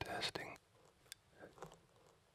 Testing,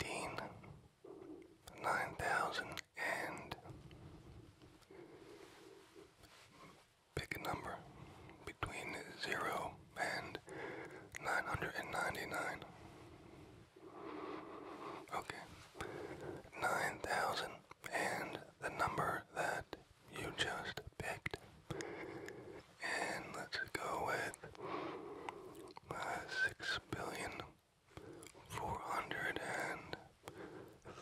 eighteen, nine thousand and pick a number between zero and nine hundred and ninety nine. Okay. Nine thousand and the number that you just picked. And let's go with at uh, six billion four hundred and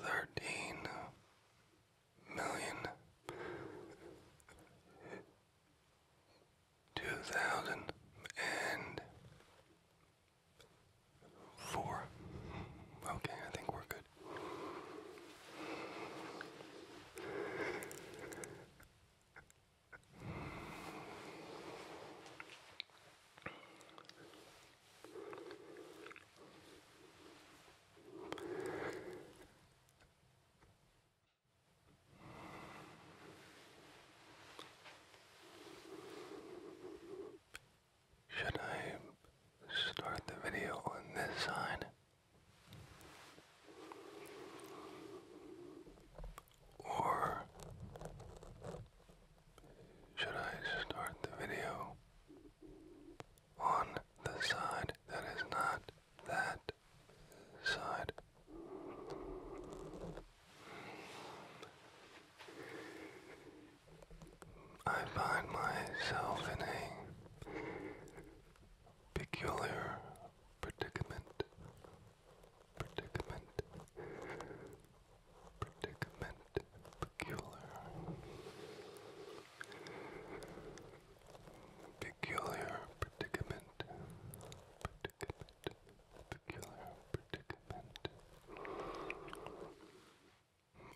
thirteen million two thousand and four. Okay, I think we're good. Should I start the video on this side? Or should I start the video on the side that is not that side? I find myself in a peculiar predicament predicament, predicament, peculiar, peculiar predicament, predicament, peculiar predicament.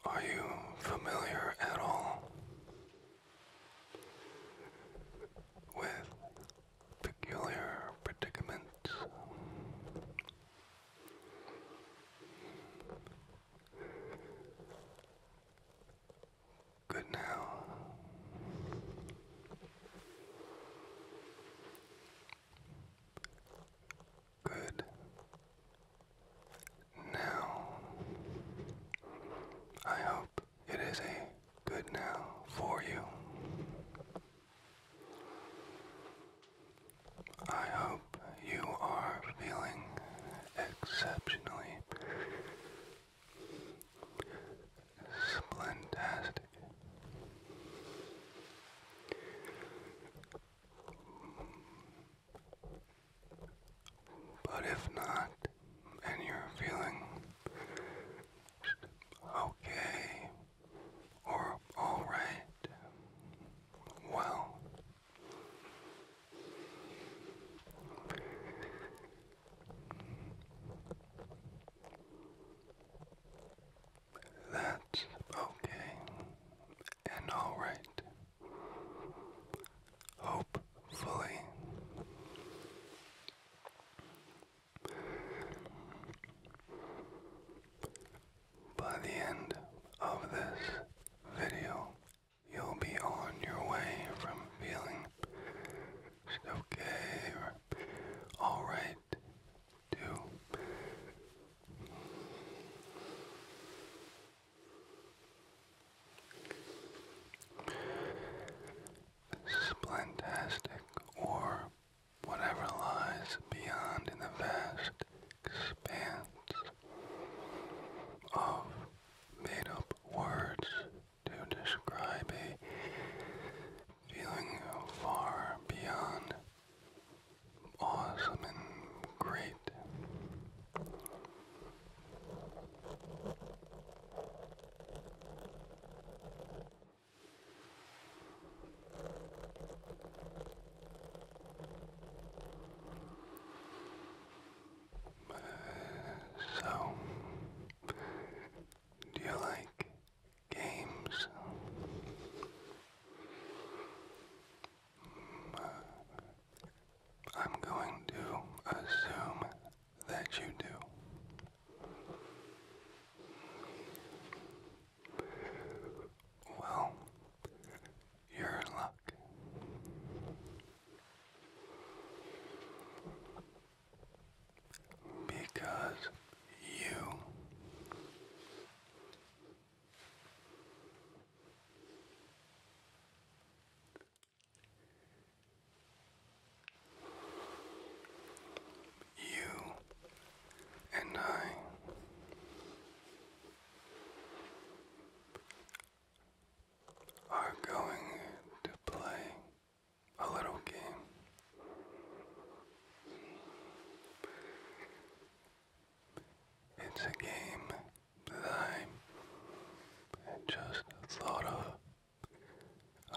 Are you familiar at all with peculiar predicaments. Good now. Good now. I hope it is a good now for you. I hope you are feeling exceptionally splentastic. But if not, and you're feeling okay or all right, well, that's okay and all right. Hopefully, by the end of this video, you'll be on your way from feeling okay or alright to splentastic or whatever lies beyond in the vast expanse of made up words to describe a feeling far beyond awesome and great so, do you like games? Uh, I'm going to assume that you do. Well, you're in luck. Because you you and I are going to play a little game. It's a game that I just thought of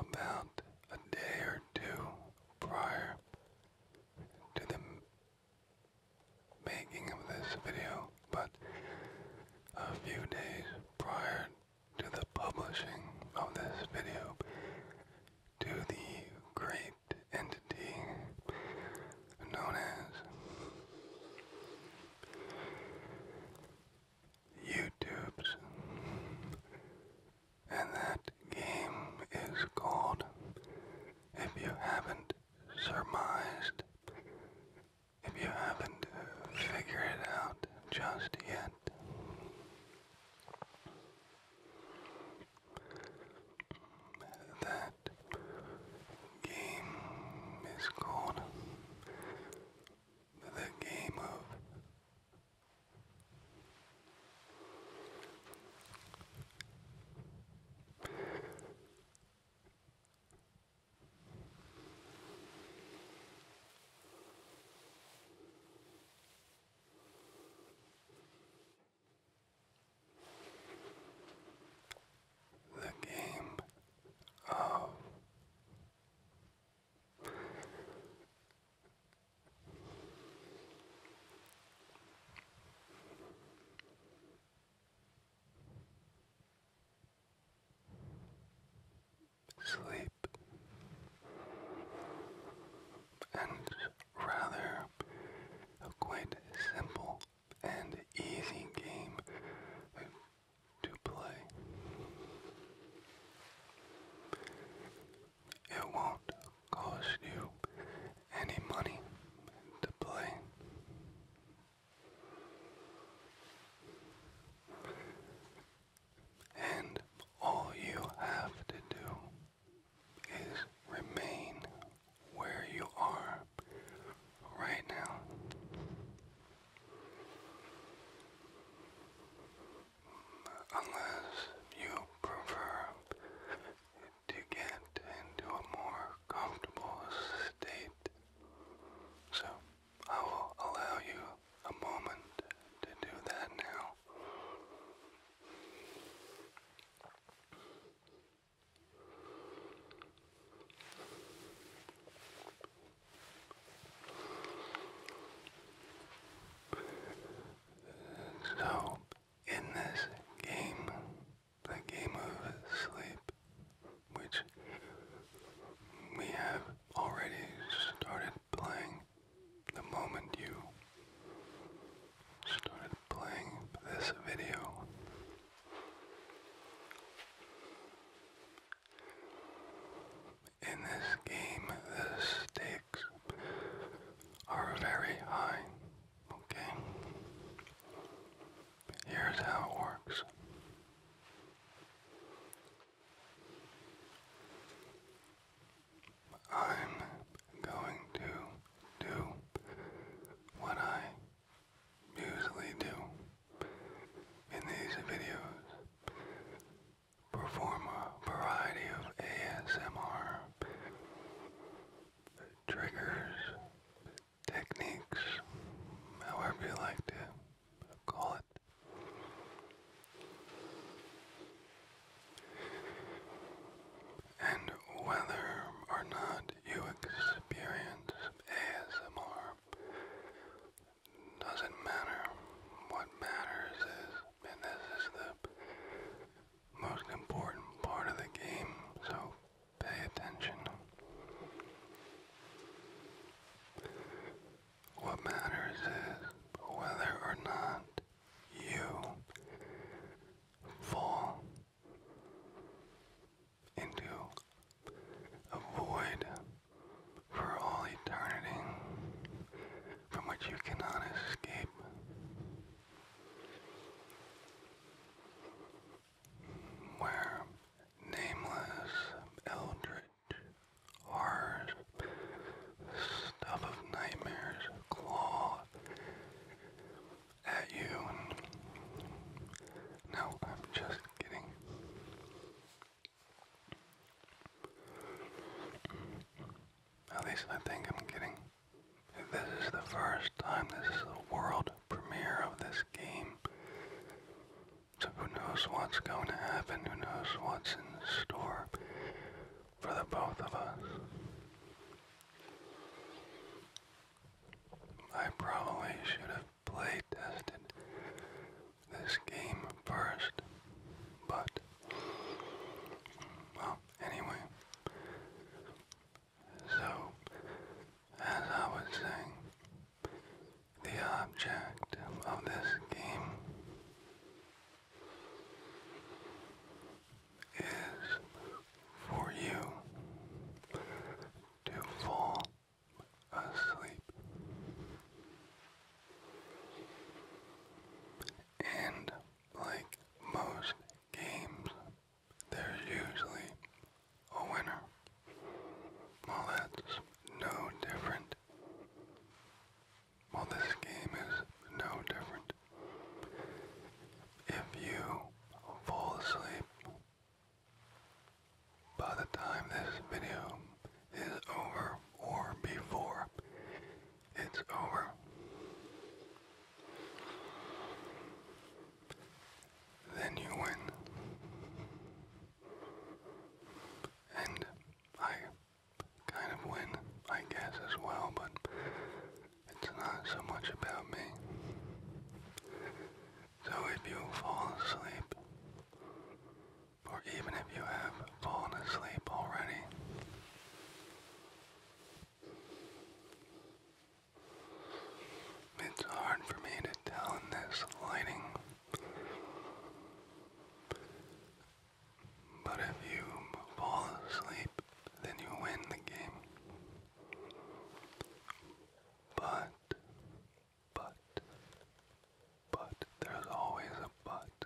about a day or two prior to the making of this video, but a few days prior to the publishing of this video to the great entity known as YouTube's and that game is called, if you haven't surmised, if you haven't figured it out just yet. That game is called the game of the game of Sleep and rather a quite simple and easy game to play. It won't cost you any money to play. And all you have to do is remain where you are right now unless you prefer to get into a more comfortable state. So I will allow you a moment to do that now. So, in this game, the game of sleep, which we have already started playing the moment you started playing this video. In this game, the stakes are very high. Okay? Here's how it works. I'm going to do what I usually do in these videos perform a variety of ASMR triggers, techniques, however you like to call it. And whether or not you experience ASMR doesn't matter. What matters is, and this is the most important part of the game, so pay attention. What matters is whether or not you fall into a void for all eternity from which you cannot escape where nameless eldritch horrors, stuff of nightmares claw at you. No, I'm just kidding. At least I think I'm kidding. This is the first time this is the world premiere of this game. So who knows what's going to happen, who knows what's in store for the both of us. I probably should have play tested this game first, but well, anyway. So, as I was saying, the object of this game is for you to fall asleep and like most games, there's usually a winner. Well, that's no different. Well, this game is no different. If you fall asleep by the time this video is over or before it's over. Then you win. And I kind of win, I guess, as well, but it's not so much about me. So if you fall asleep, or even if you have fallen asleep already, it's hard for me to tell in this lighting. But if you fall asleep, then you win the game. But, but, but, there's always a but.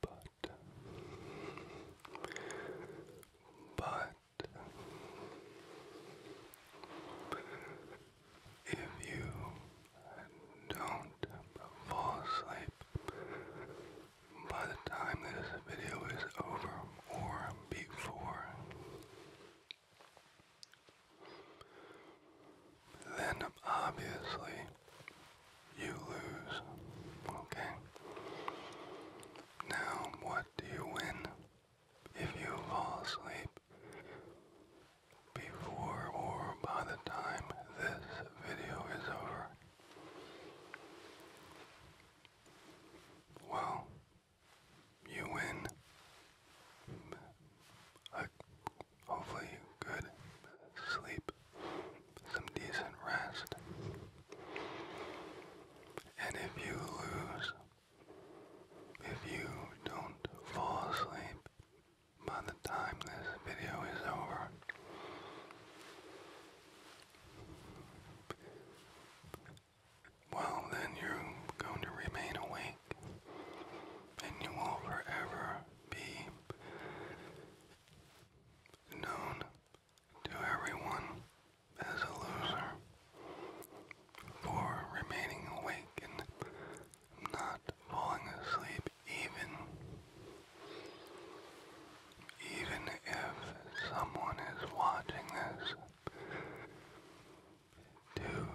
but, but, if you don't fall asleep by the time this video is over or before, then obviously you lose. Okay? Now, what do you win if you fall asleep before or by the time this video is over? Well, you win a hopefully good sleep some decent rest. And if you lose, if you don't fall asleep by the time this video is over, well, then you're going to remain awake and you will forever be known to everyone as a loser for remaining awake and not falling asleep even even if someone is watching this to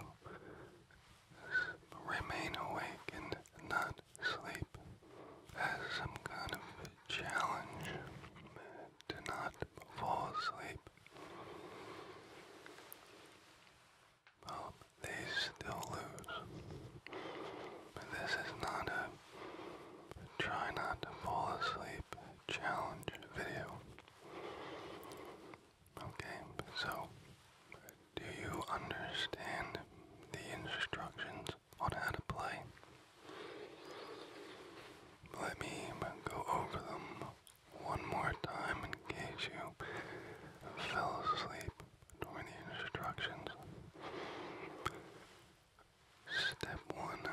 remain awake and not sleep as some kind of challenge to not fall asleep. Well, they still lose. But this is not a try not to fall asleep challenge video. Okay, so do you understand the instructions on how to play. Let me go over them one more time in case you fell asleep during the instructions. Step one,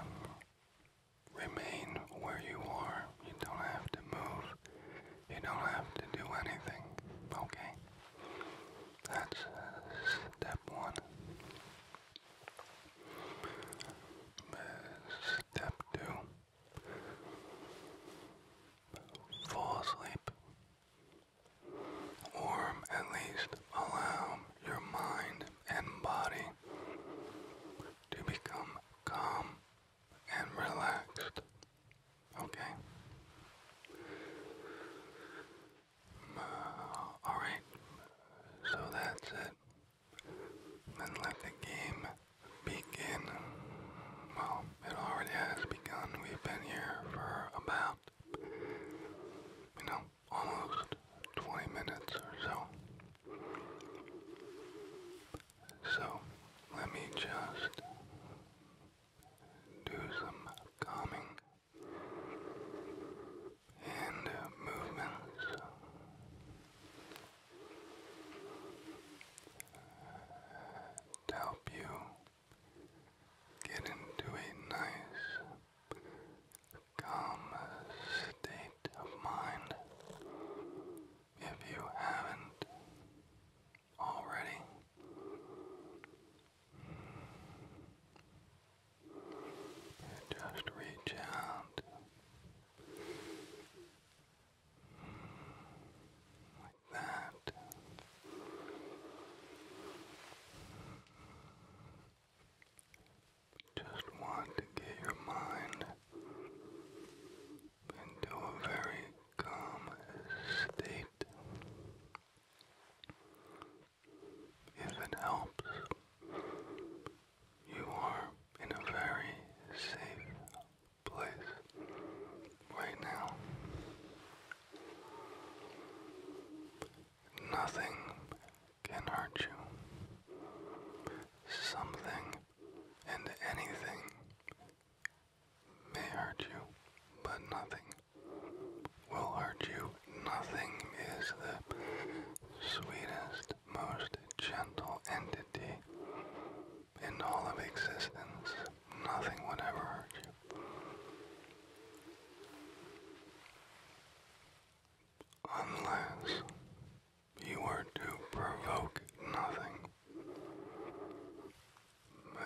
remain where you are. You don't have to move. You don't have to do anything. Okay? That's uh, step one. Step two. Fall asleep. Or at least allow your mind and body to become calm and relaxed. Okay? Alright, so that's it. Then let the game begin. Well, it already has begun. We've been here for about, you know, almost 20 minutes or so. So, let me just do some calming and uh, movements. To help you get into a nice, calm state of mind if you haven't already. Just reach out like that. Just want to get your mind into a very calm state. If it helps, you are in a very safe place right now. Nothing can hurt you. Something and anything may hurt you, but nothing will hurt you. Nothing is the sweetest, most gentle entity in all of existence. Nothing would ever hurt you. Unless you were to provoke nothing.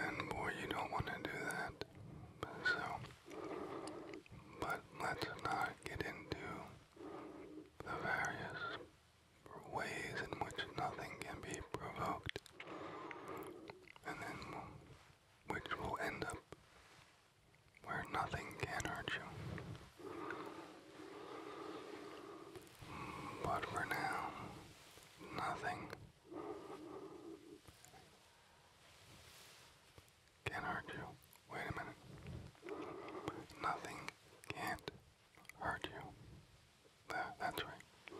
And boy, you don't want to do that. So, but let's not get into the various ways in which nothing can be provoked, and then which will end up where nothing can hurt you. But for now, nothing can't hurt you. Wait a minute. Nothing can't hurt you. That, that's right.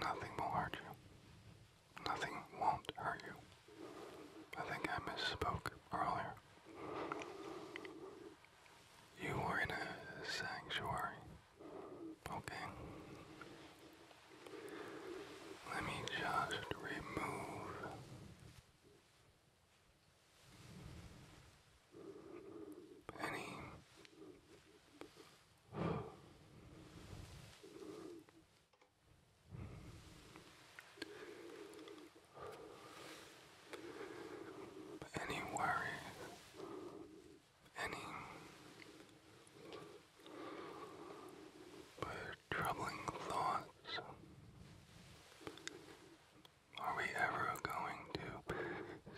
Nothing will hurt you. Nothing won't hurt you. I think I misspoke earlier. You were in a sanctuary. Okay. Let me just remove any any worries, any but troubling thoughts. Are we ever going to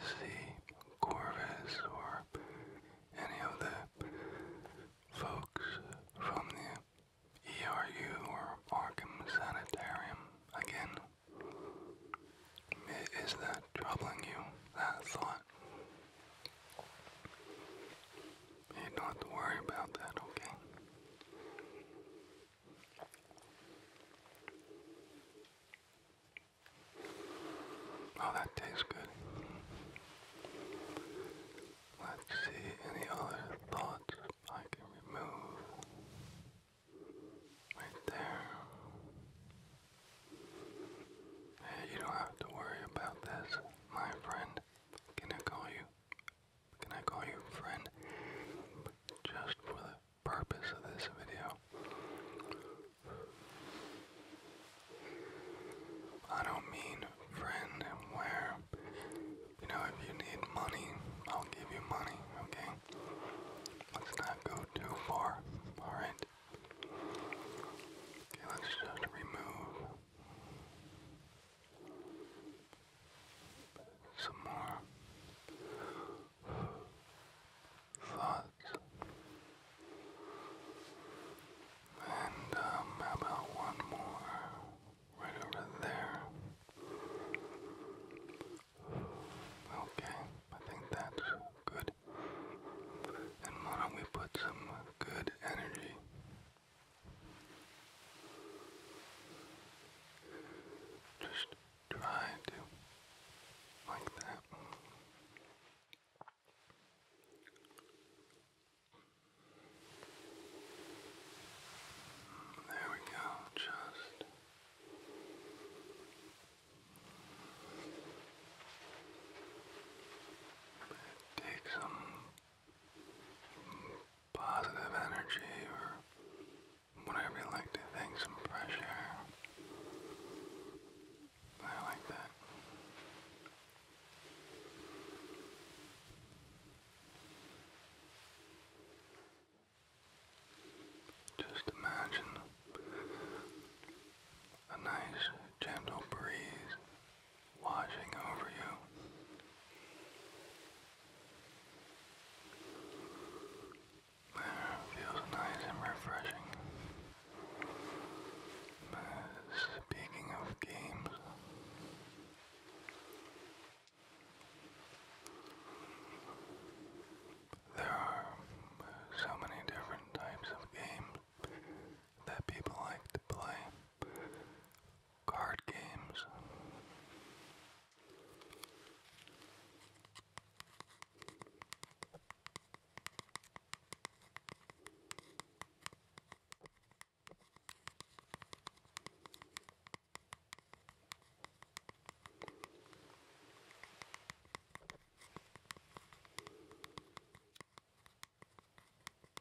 see Corvus or any of the folks from the ERU or Arkham Sanitarium again? Is that troubling you, that thought? You don't have to worry about that, okay? Oh, that tastes good. Let's see any other thoughts I can remove. Right there. you don't have to worry about this, my friend. Can I call you? Can I call you friend? Just for the purpose of this video. I don't mean friend where, you know, if you need money, I'll give you money, okay? Let's not go too far, alright? Okay, let's just remove some more thoughts. And um, about one more right over there? Okay, I think that's good. And why don't we put some good energy just try to like that. There we go, just take some positive energy or whatever you like to think, some pressure. I like that. Just imagine a nice gentle breeze watching over you. feels nice and refreshing. speaking of games, there are so many different types of games that people like to play card games.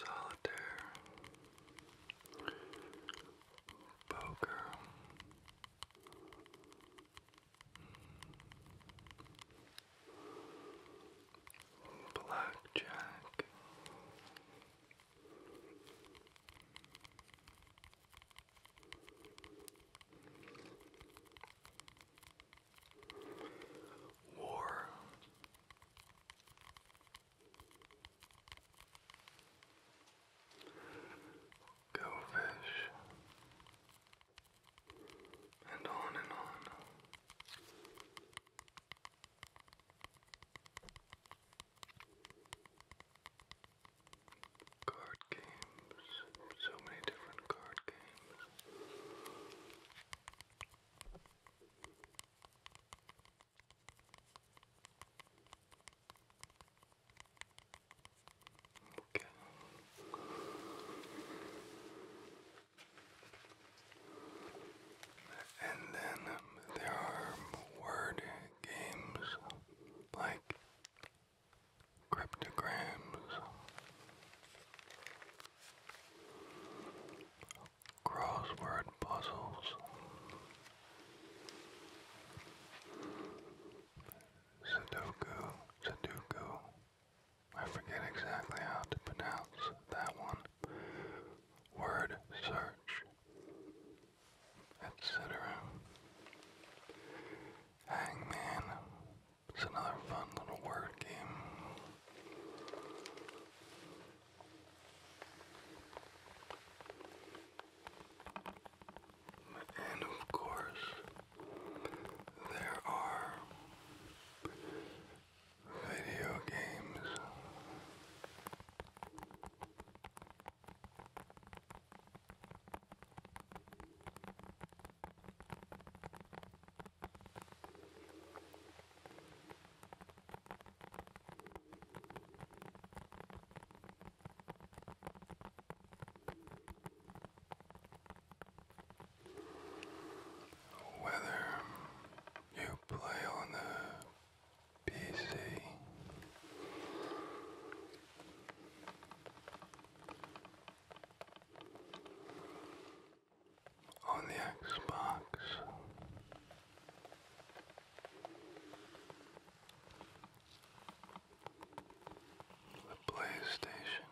Solitaire, poker, blackjack. War. Go fish. And on and on. Card games, so many different card games. Okay. And then there are word games like cryptograms, crossword puzzles, Sudoku, Sudoku. I forget exactly how to pronounce that one. Word search, etc. Hangman, it's another fun little word game. And of course, there are video games. Whether you play on the PC on the Xbox. The PlayStation,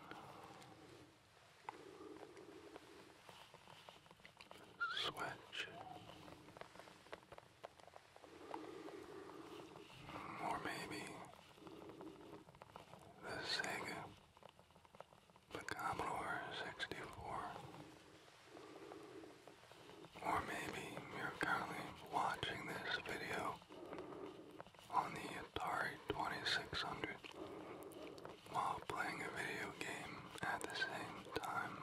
Switch, or maybe the Sega the Commodore 64. Or maybe you're currently watching this video on the Atari 2600 while playing a video game at the same time.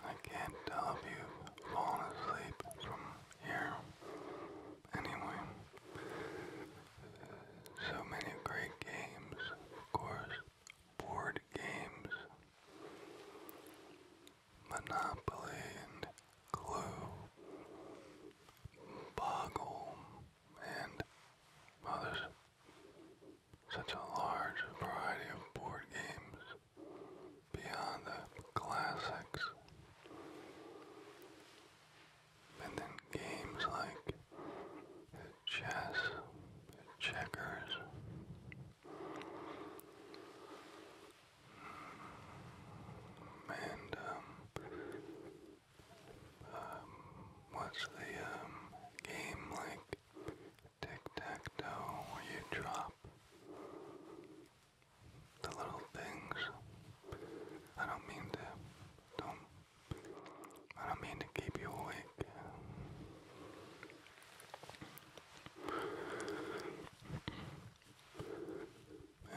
I can't tell if you've fallen asleep from here anyway. So many great games, of course, board games, Monopoly and Clue, Boggle, and well, such a large variety of board games beyond the classics. And then games like chess, checkers. And, um, um, what's the, um, game like tic-tac-toe where you drop the little things? I don't mean to, don't I don't mean to keep you awake.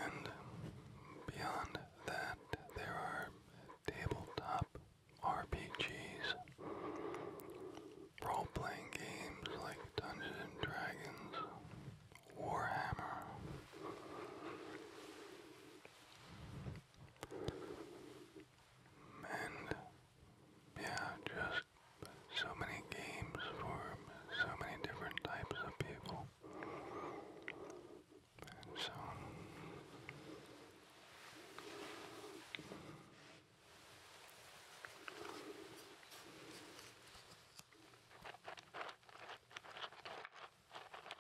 And beyond that, there are tabletop RPGs, role playing games like Dungeons and Dragons, Warhammer, and yeah, just so many games for so many different types of people. so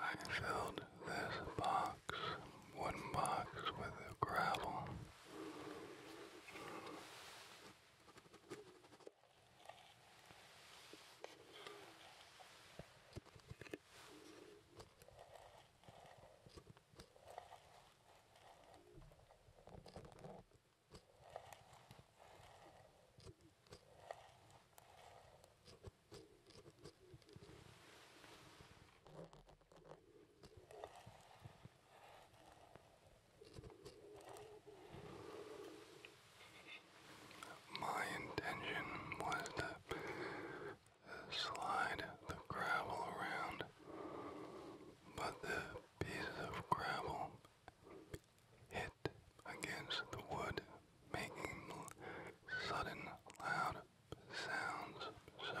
I filled this box, wooden box, with gravel. My intention was to slide the gravel around, but the pieces of gravel hit against the wood, making sudden loud sounds. So.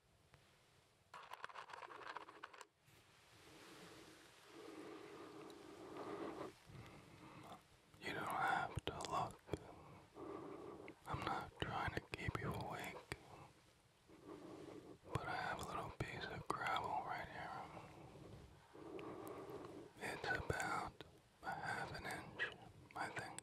You don't have to look. I'm not trying to keep you awake. But I have a little piece of gravel right here. It's about a half an inch, I think.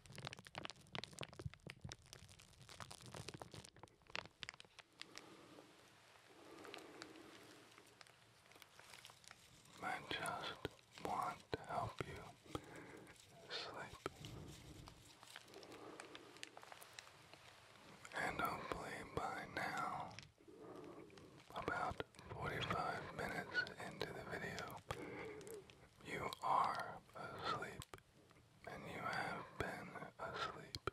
I just want to help you sleep. And hopefully by now, about 45 minutes into the video, you are asleep, and you have been asleep.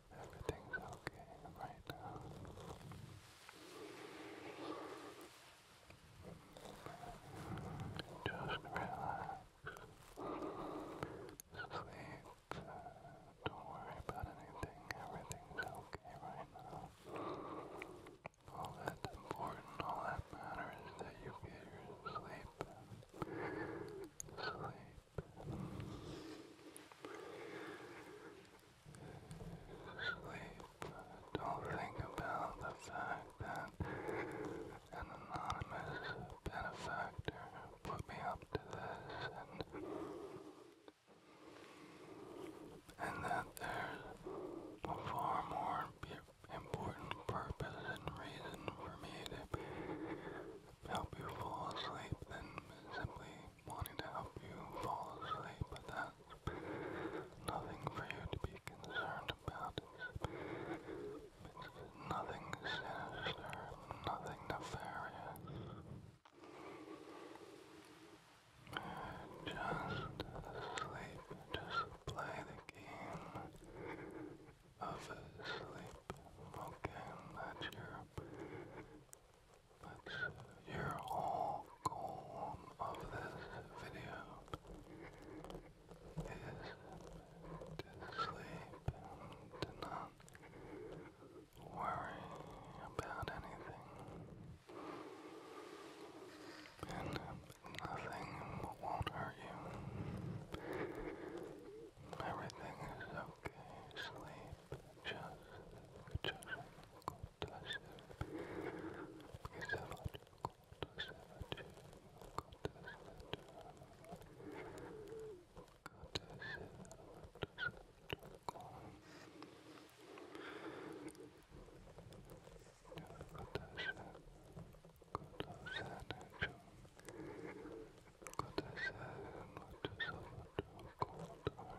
Everything's okay right now. Just relax. Sleep. Don't worry about anything. Everything's okay right now. All that's important, all that matters is that you get your sleep. Sleep. Sleep. Don't think about the fact that an anonymous benefactor put me up to this and that there's a far more important purpose and reason for me to help you fall asleep than simply wanting to help you fall asleep, but that's nothing for you to be concerned about. It's, nothing sinister, nothing nefarious. Just sleep, just play the game of sleep, okay? That's your that's your whole goal of this video is to sleep to not worry about anything. And nothing will hurt you. Everything is okay, sleep, just, just go to sleep. Is that what? Go to sleep, go to sleep. Go to sleep, go to sleep, go. Go to sleep, go to sleep, go to sleep. Good I said, not to suffer too cold are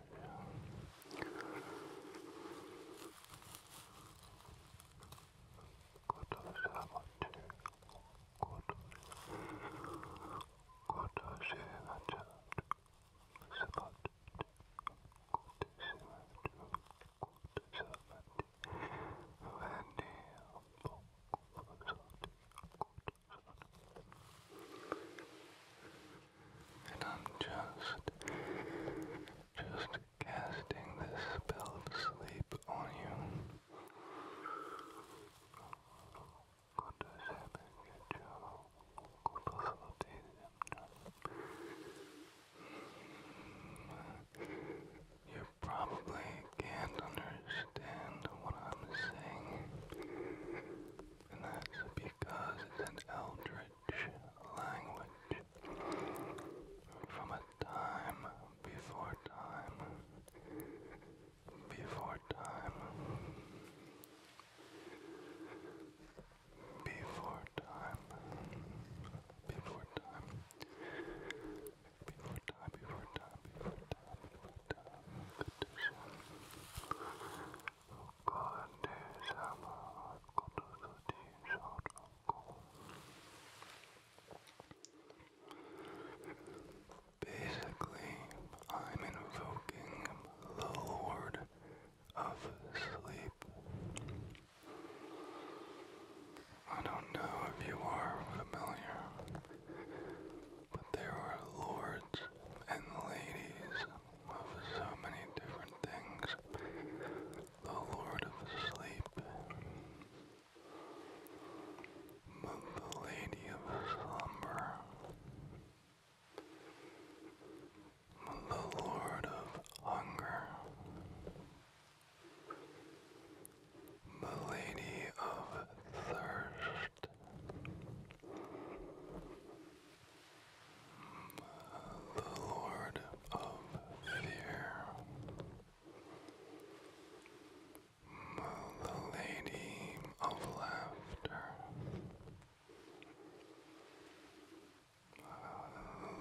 you? Good I suffer too good. Good I say that child. Sabbat. Good I say that too. Good I suffer too. When he and I'm just, just casting this spell of sleep on you. You probably can't understand what I'm saying, and that's because it's an eldritch language from a time before time, before time, before time, before time, before time, before time, before time, before time, Basically, I'm invoking the Lord of Sleep. I don't know if you are familiar but there were lords and ladies of so many different things. The Lord of Sleep, the Lady of Slumber, the Lord of Hunger, the Lady of Thirst. The Lord of Fear, the Lady of Laughter,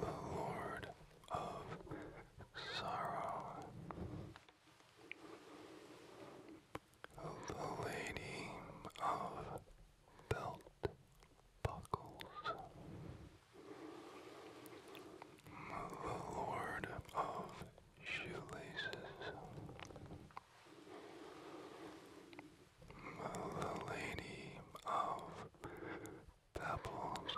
the Lord of Sorrow, the Lady of Belt Buckles, the Lord of Shoelaces, the Lady of Pebbles,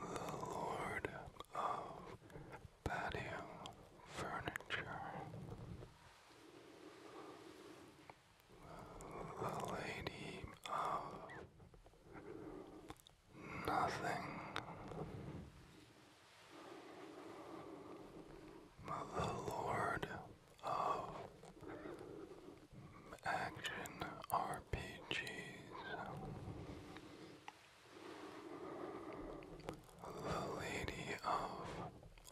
the Lord of patio furniture. The lady of nothing. The Lord of Action RPGs. The Lady of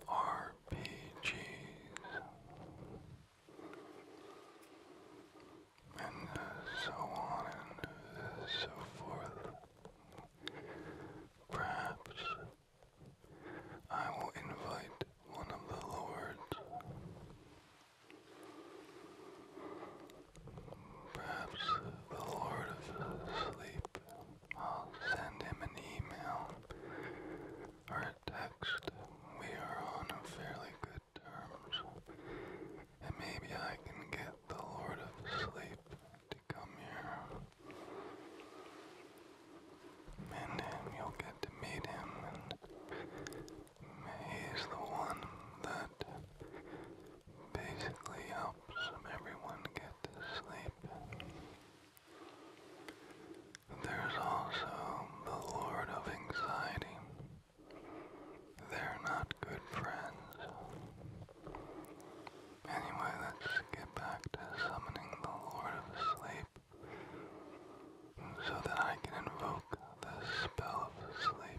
RPGs, and so on and so forth. Perhaps I will invite one of the lords. Perhaps the Lord of Sleep. I'll send him an email or a text. We are on fairly good terms. And maybe I can get the Lord of Sleep to come here. And you'll get to meet him, and he's the one that basically helps everyone get to sleep. There's also the Lord of Anxiety. They're not good friends. Anyway, let's get back to summoning the Lord of Sleep so that I can invoke the spell of sleep.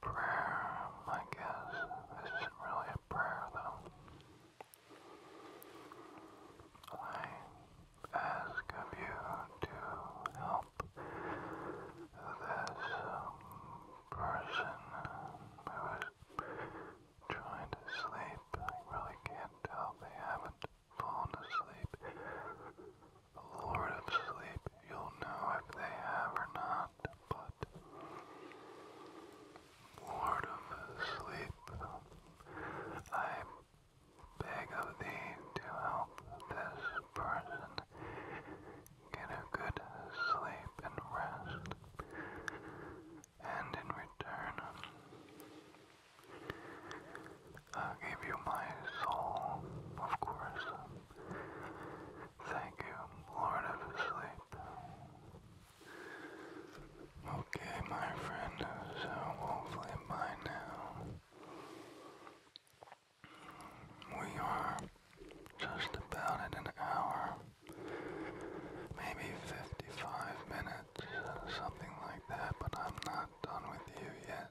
prayer, I guess. This isn't really a prayer, though. I ask of you to help this um, person who is trying to sleep. I really can't tell they haven't fallen asleep. Lord of Sleep, you'll know if they have or not, but Lord of Sleep, I beg of thee to help this person get a good sleep and rest, and in return, i give you my soul, of course. Thank you, Lord of Sleep. Okay, my friend, so hopefully by now we are just about at an hour, maybe 55 minutes, something like that, but I'm not done with you yet.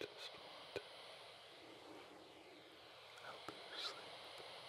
Just want to help you sleep. Just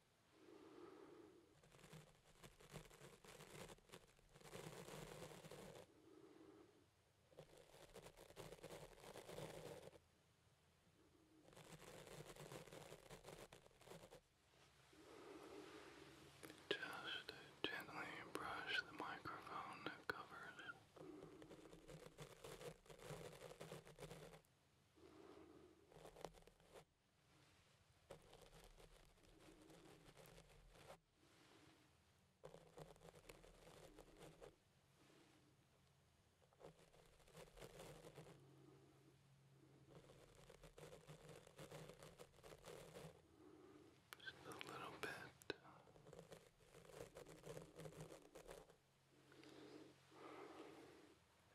Just gently brush the microphone covers. Just a little bit.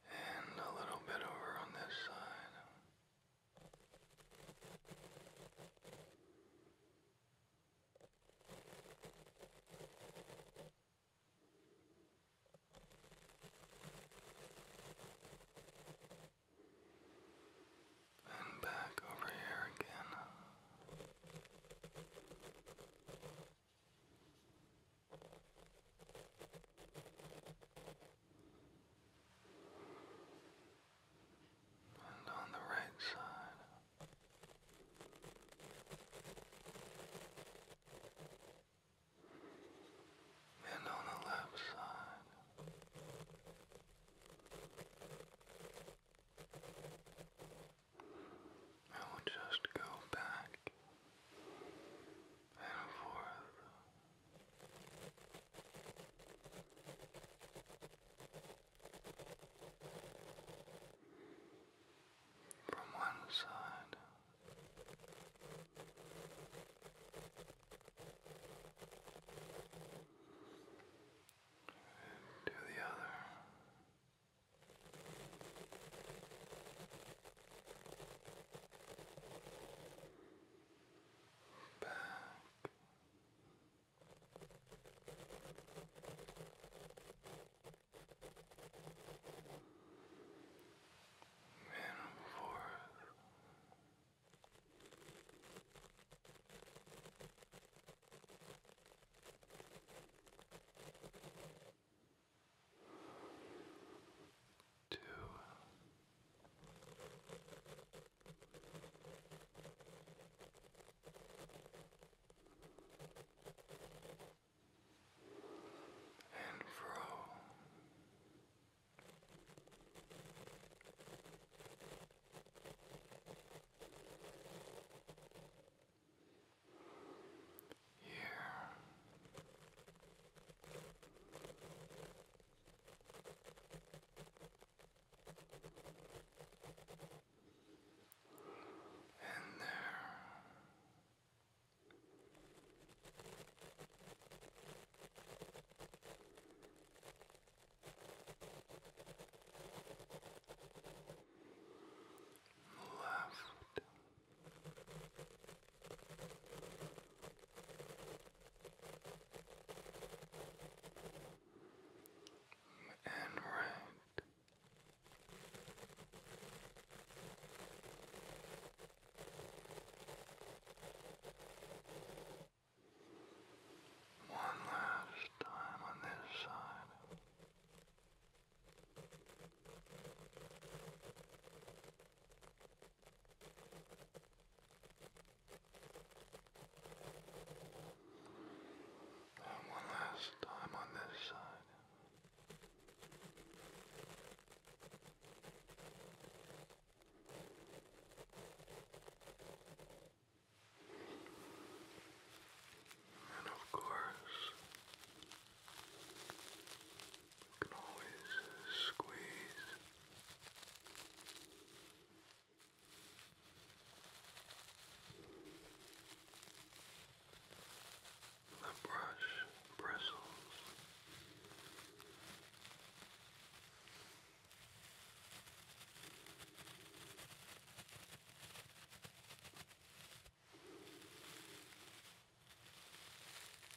And a little bit over on this side. And back over here again and on the right side. And on the left side, I will just go back and forth from one side to the other back. And forth two, and fro. Here and there. Left and right. One last time on this side. And one last time on this side. And of course, you can always squeeze the brush bristles.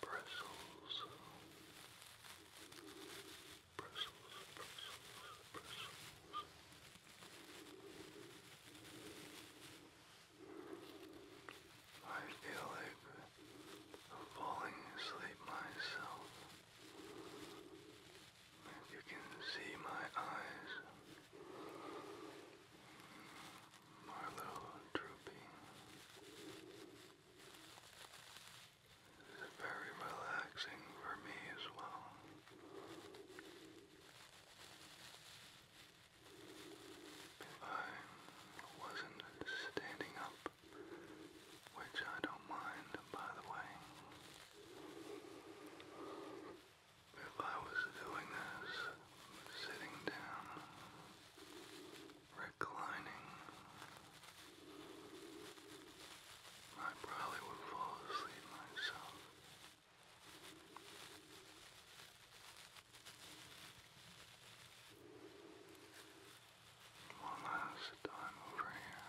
Brussels, bristles, bristles, bristles. I feel like falling asleep myself. you can see my eyes are little droopy. It's very relaxing for me as well. If I wasn't standing up, which I don't mind, by the way, if I was doing this sitting down, reclining. I probably would fall asleep myself. One last time over here.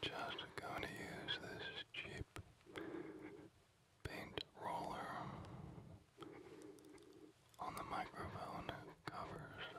Just going to use this cheap paint roller on the microphone covers.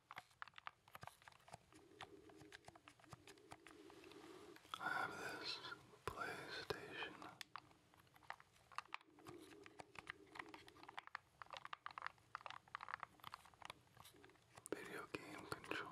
I have this PlayStation. Video game controller.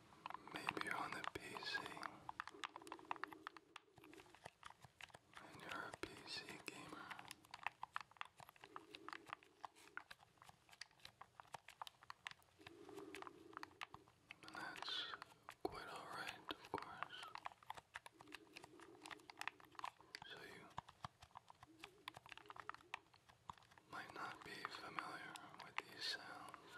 Maybe you're on the PC and you're a PC gamer. And that's quite alright, of course. So you might not be familiar with these sounds.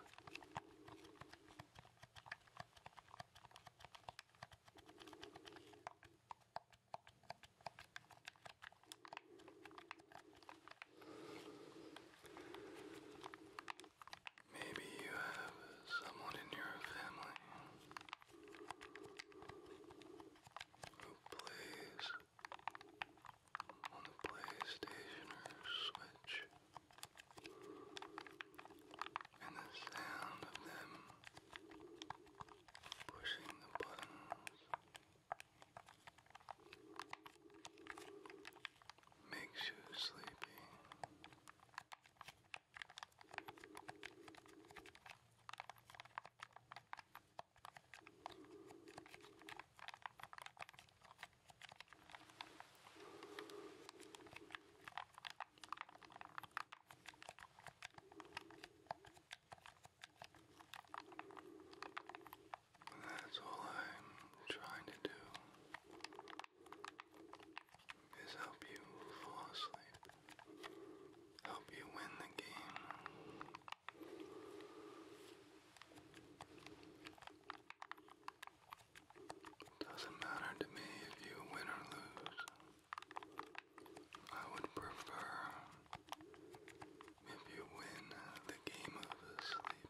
Maybe you have someone in your family who plays on the PlayStation or Switch and the sound of them pushing the buttons makes you sleepy. That's all I'm trying to do is help you fall asleep, help you win the game. It Doesn't matter to me if you win or lose. I would prefer if you win the game of sleep.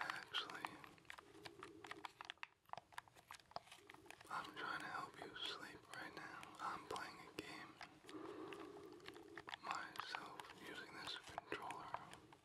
Actually, I'm trying to help you sleep right now. I'm playing a game myself using this controller.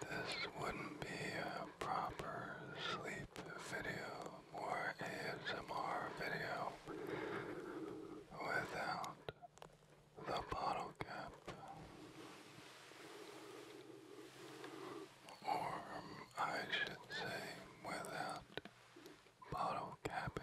This wouldn't be a proper sleep video or ASMR video without the bottle cap or um, I should say without bottle capping.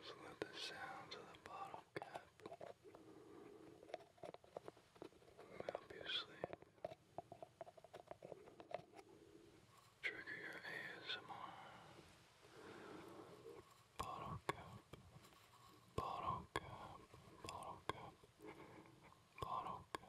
Just let the sounds of the bottle Obviously, Trigger your ASMR. Bottle cap. Bottle cap. Bottle cap. Bottle cap.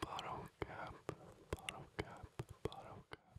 Bottle cap, bottle cap, bottle cap, bottle cap.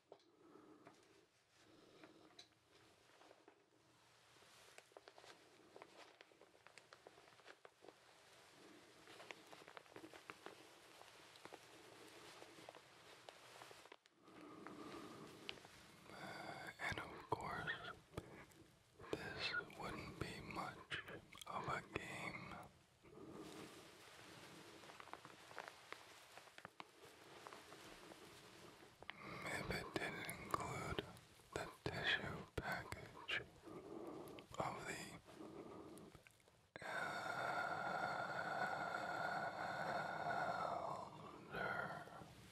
Uh, and of course, this wouldn't be much of a game if it didn't include the tissue package of the elder. Uh,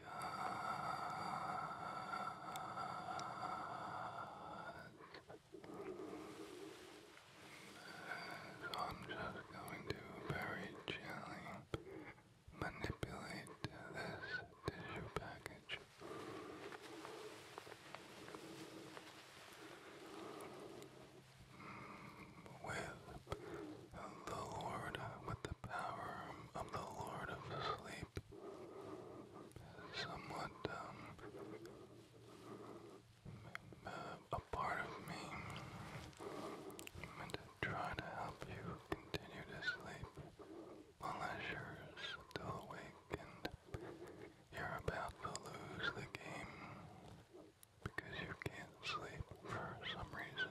God. So I'm just going to very gently manipulate this tissue package. With the Lord, with the power of the Lord of Sleep type. Somewhat, um, a part of me meant to try to help you continue to sleep unless you're still awake and you're about to lose the game because you can't sleep for some reason.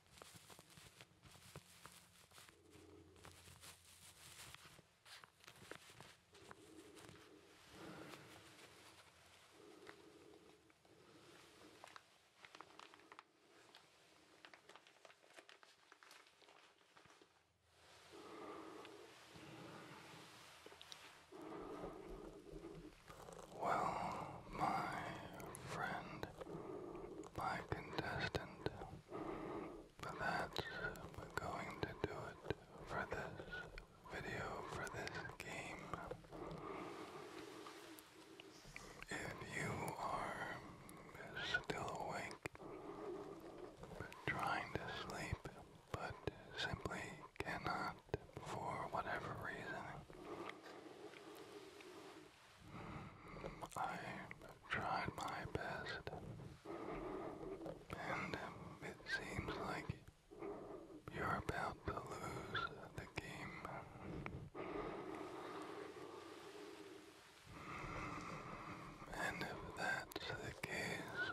Well, my friend, by contestant, but that's going to do it for this video, for this game. If you are still awake, trying to sleep, but simply cannot for whatever reason, I tried my best, and um, it seems like you're about to lose the game. And if that's the case,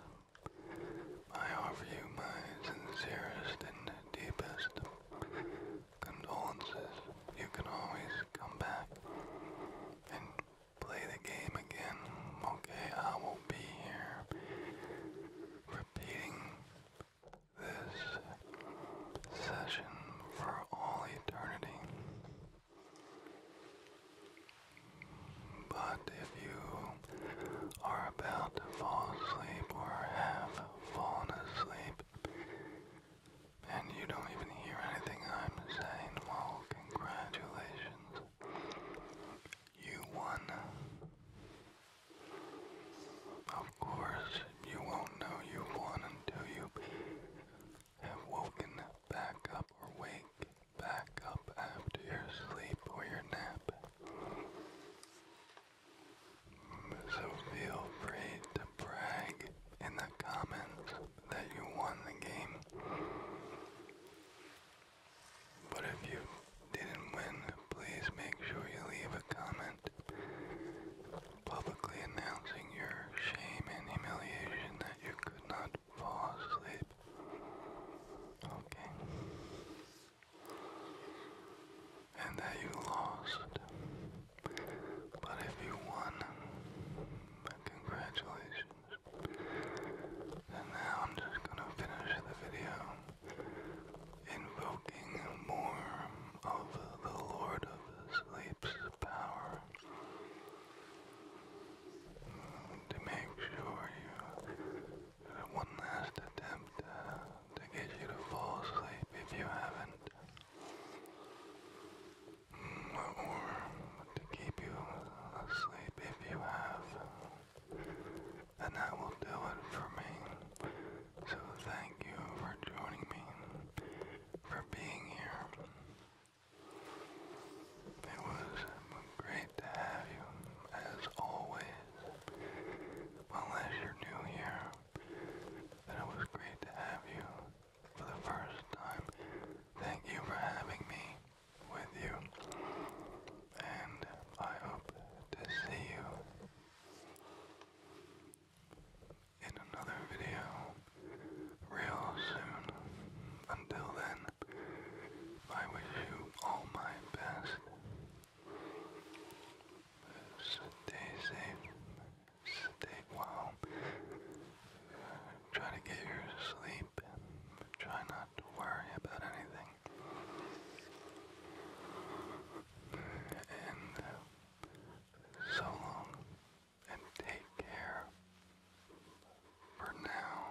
I offer you my sincerest and deepest condolences. You can always come back and play the game again. Okay, I will be here repeating this session for all eternity. But if you are about to fall asleep or have fallen asleep, and you don't even hear anything I'm saying. Well, congratulations. You won. Of course, you won't know you won until you have woken back up or wake back up after your sleep or your nap. So feel free to brag in the comments that you won the game. But if you didn't win, please make sure you leave a comment publicly announcing your shame and humiliation that you could not fall asleep. Okay. And that you lost. But if you won, congratulations. And now I'm just gonna finish the video invoking more of the Lord of Sleep's power to make sure you one last attempt uh, to get you to fall asleep if you haven't or to keep you asleep if you have. And that will do it for me. So thank you for joining me, for being here. It was great to have you, as always. Unless you're new here, then it was great to have you for the first time. Thank you for having me with you, and I hope to see you in another video real soon. Until then, I wish you all my best. Stay safe stay well. Try to get your sleep and try not to worry about anything. And so long and take care for now.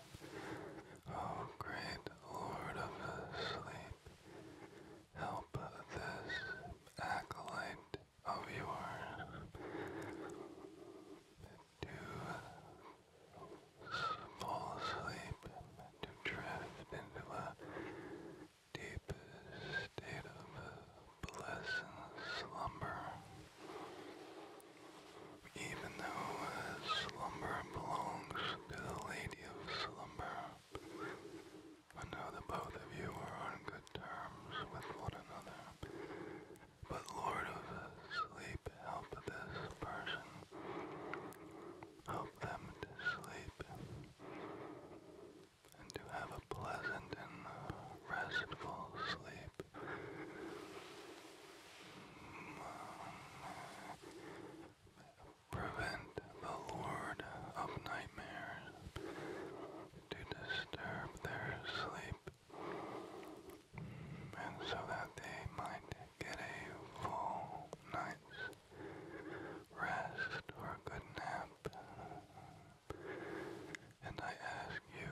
Oh, great Lord of the sleep, help this acolyte of yours to fall asleep, to drift into a deep state of blessed slumber. Even though uh, slumber belongs to the lady of slumber, I know that both of you are on good terms with one another. But Lord of Sleep, help this person. Help them to sleep and to have a pleasant and restful sleep. Prevent the Lord of nightmares to disturb their sleep, and so that they might get a full night's rest or a good nap. And I ask you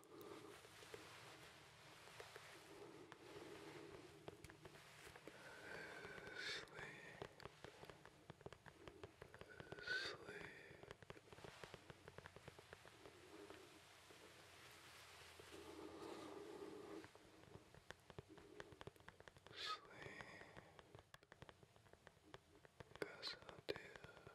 sleep, sleep, sleep. Yes, I do.